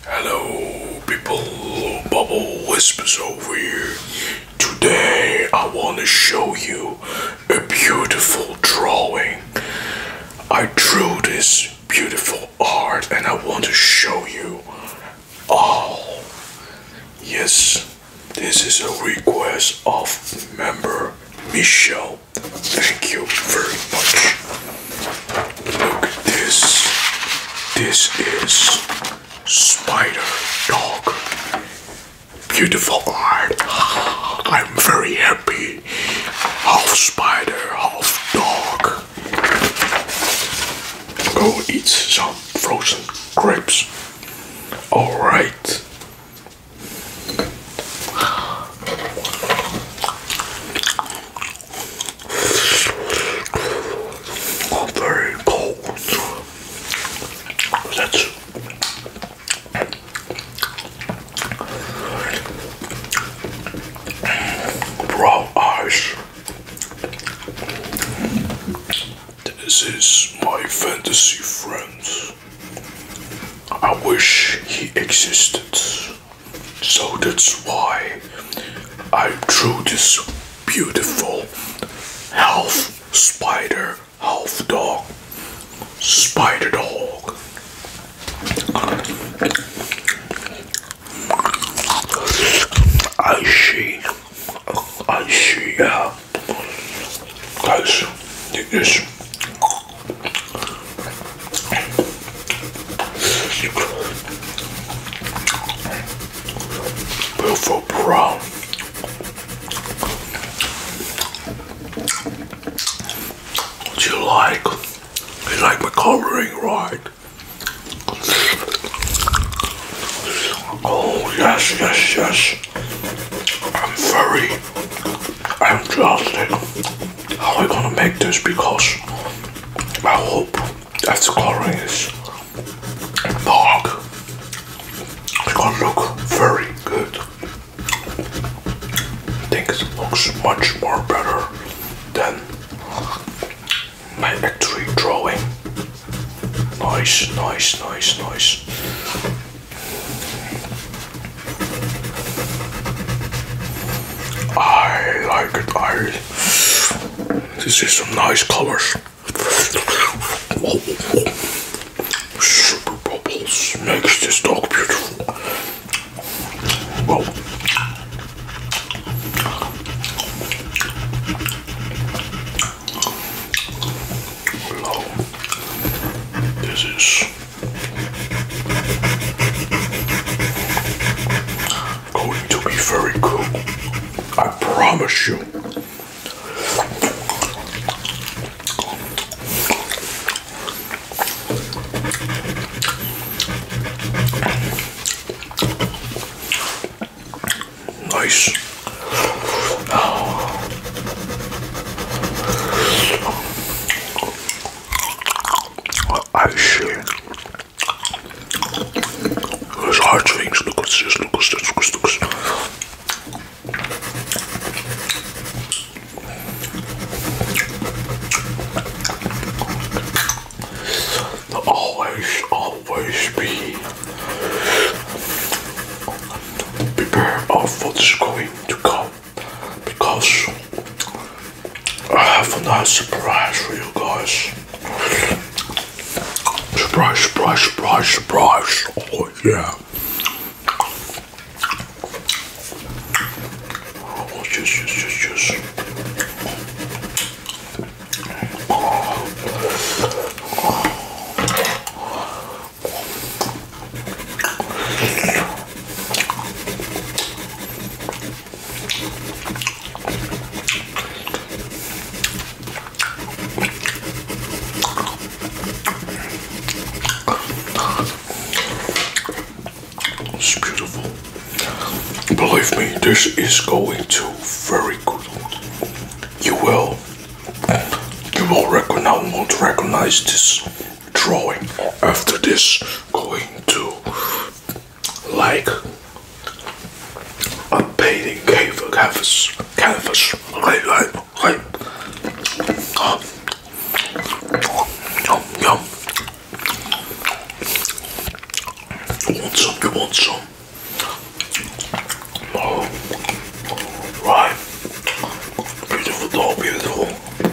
Hello, people. Bubble Whispers over here. Today, I want to show you a beautiful drawing. I drew this beautiful art and I want to show you all. Yes, this is a request of member Michelle. Thank you very much. Look at this. This is Spider Dog. Beautiful art. I'm very happy. Half spider, half dog. Go eat some frozen grapes. Alright are oh, very cold. That's raw ice. This is my fantasy friend. I wish he existed. So that's why I drew this beautiful half spider, half dog, spider dog. I see, I see, yeah. Guys, it is Beautiful brown. you like? You like my coloring, right? Oh yes, yes, yes. I'm very I'm exhausted how I'm gonna make this because I hope after coloring is dark, it's gonna look very good. I think it looks much more better than my actual drawing. Nice, nice, nice, nice. I like it. I this is some nice colors. Whoa, whoa, whoa. Super bubbles makes this dog beautiful. Whoa. Hello. This is Going to be very cool. I promise you. Nice. Ijsje. Dat is hard wings, Lucas, just Lucas, Lucas, Lucas. Always, always be prepared of what is going to come because I have a nice surprise for you guys. Surprise, surprise, surprise, surprise. Oh, yeah. Oh, yes, yes, yes, yes. Oh. It's beautiful. Believe me, this is going to very good. You will. You will recognize, won't recognize this drawing after this going to like a painting canvas canvas like like like uh, yum yum you want some you want some oh right beautiful dog oh, beautiful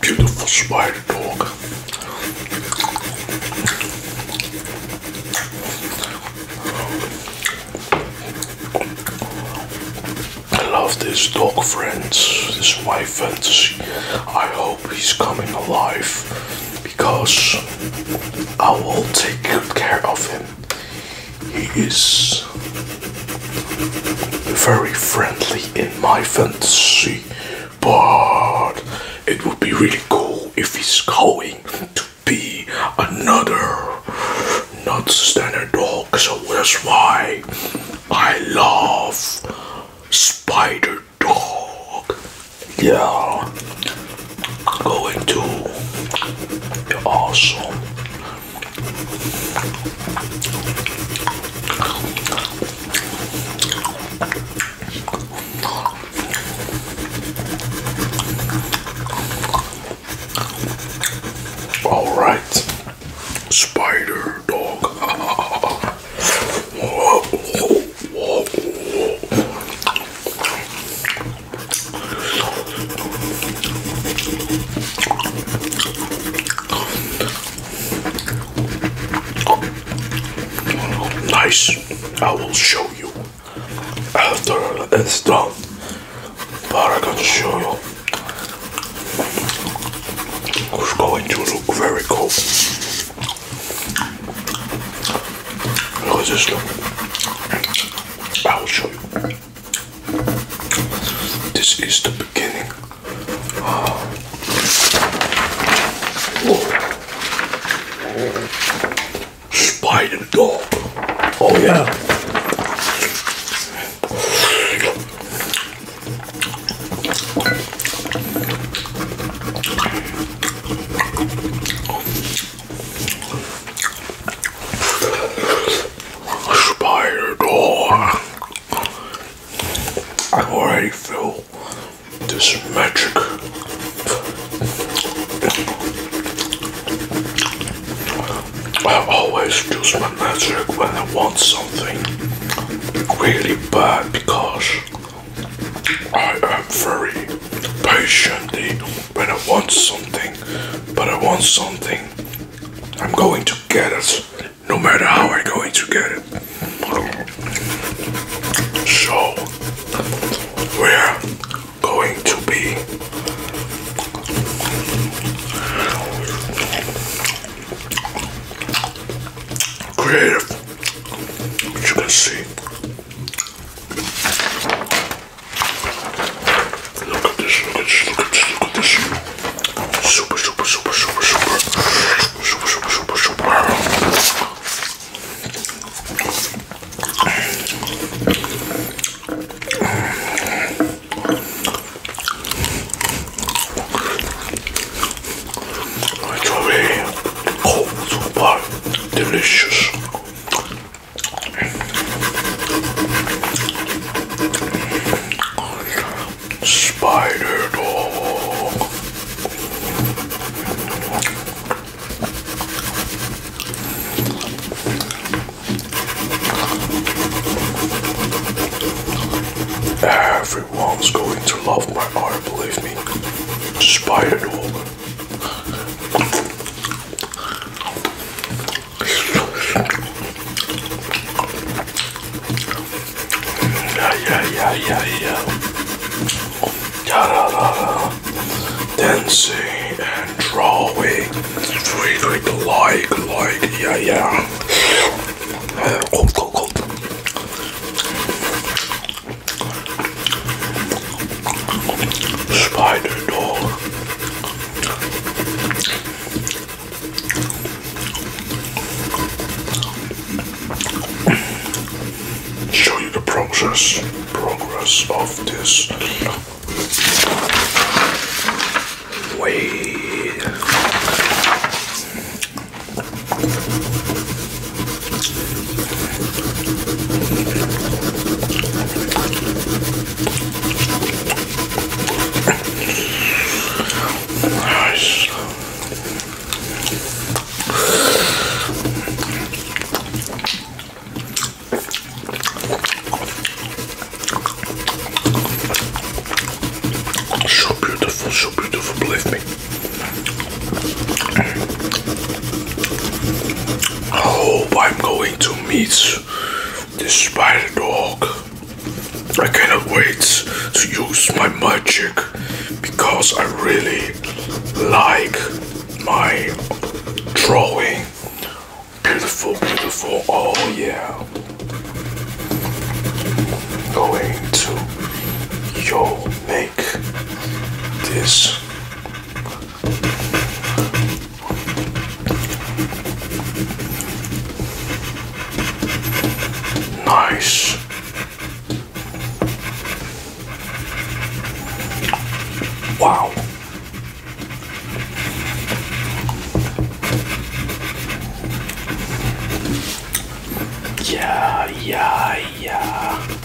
Beautiful spider dog. I love this dog, friends. This is my fantasy. I hope he's coming alive because I will take good care of him. He is very friendly in my fantasy, but it would be really cool if he's going to be another not standard dog, so that's why I love Spider Dog. Yeah, going to be awesome. All right, spider dog. Nice. I will show you after it's done. But I can show you. It's going to look very cool. Look at this look. I'll show you. This is the beginning. Oh. Spider dog. Oh yeah. Spider door. I already feel this magic. I always use my magic when I want something really bad because I am very patiently when I want something, but I want something, I'm going to get it, no matter how I'm going to get it. So, we're going to be creative, as you can see. Look at this, look at this, look at this, look at this. Super, super, super, super, super. Super, super, super, super. It's very cold, but delicious. Spider dog. Everyone's going to love my art, believe me. Spider dog. Yeah, yeah, yeah, yeah. Da da da da. Dancing and drawing. Really like, like, like, yeah, yeah. Uh, go, go, go. Spider dog. Show you the process, progress of this way. Nice. So beautiful, so beautiful, believe me. I hope I'm going to meet the spider dog. I cannot wait to use my magic because I really like my drawing. Beautiful, beautiful. Oh, yeah. Going to your make this nice wow yeah yeah yeah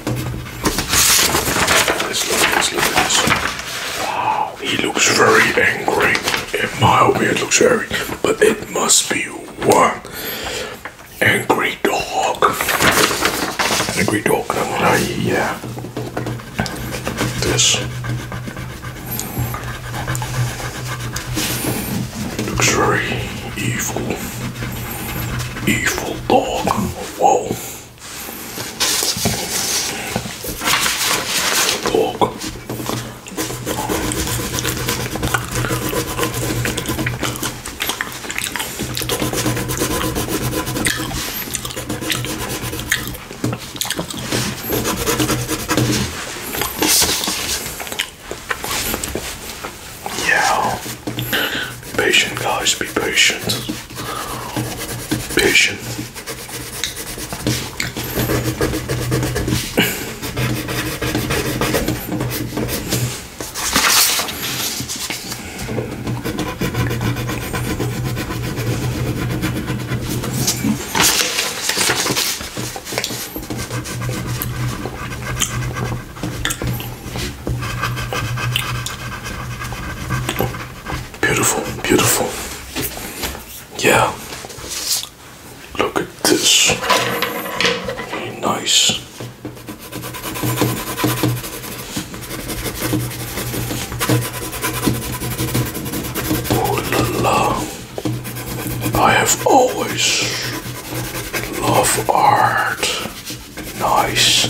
Let's look at this, look Wow, he looks very angry. In my opinion, it looks very, but it must be one angry dog. Angry dog, yeah. This. Luxury, evil. Evil dog. Whoa. Dog. Yeah. Be patient, guys. Be patient. Patient. Beautiful, beautiful. Yeah. Look at this. nice. Oh la la. I have always Love art. Nice.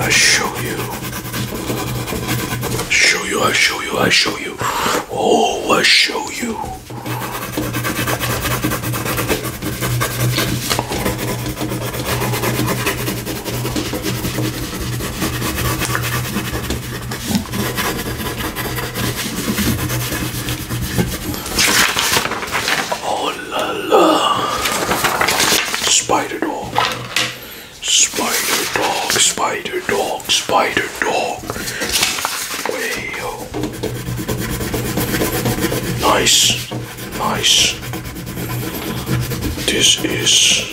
I show you. I show you, I show you, I show you. Oh, I show you. Oh la la. Spider dog. Spider dog, spider dog, spider dog. Way -o. Nice. Nice. This is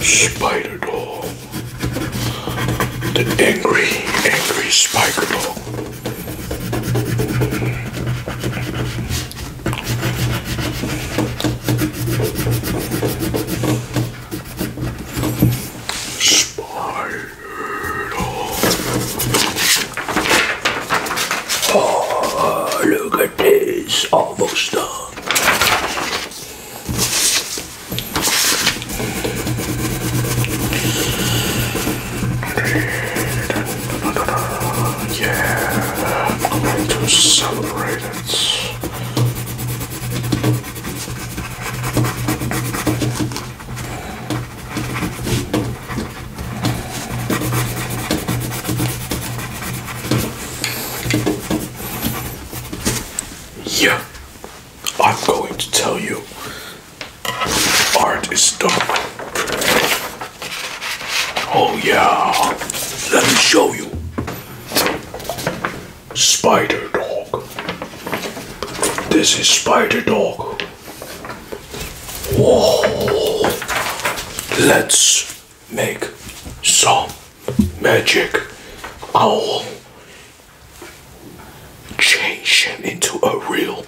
Spider Dog. The angry, angry Spider Dog. Spider Dog. Oh, look at it is almost done. Yeah, I'm going to celebrate it. Yeah, I'm going to tell you art is dark. Oh, yeah, let me show you. Spider Dog. This is Spider Dog. Whoa, let's make some magic owl. Change him into a real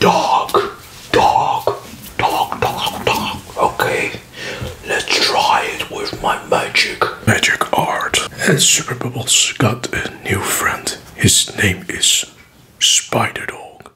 dog. Dog. Dog, dog, dog. Okay, let's try it with my magic. Magic art. And Super Bubbles got a new friend. His name is Spider Dog.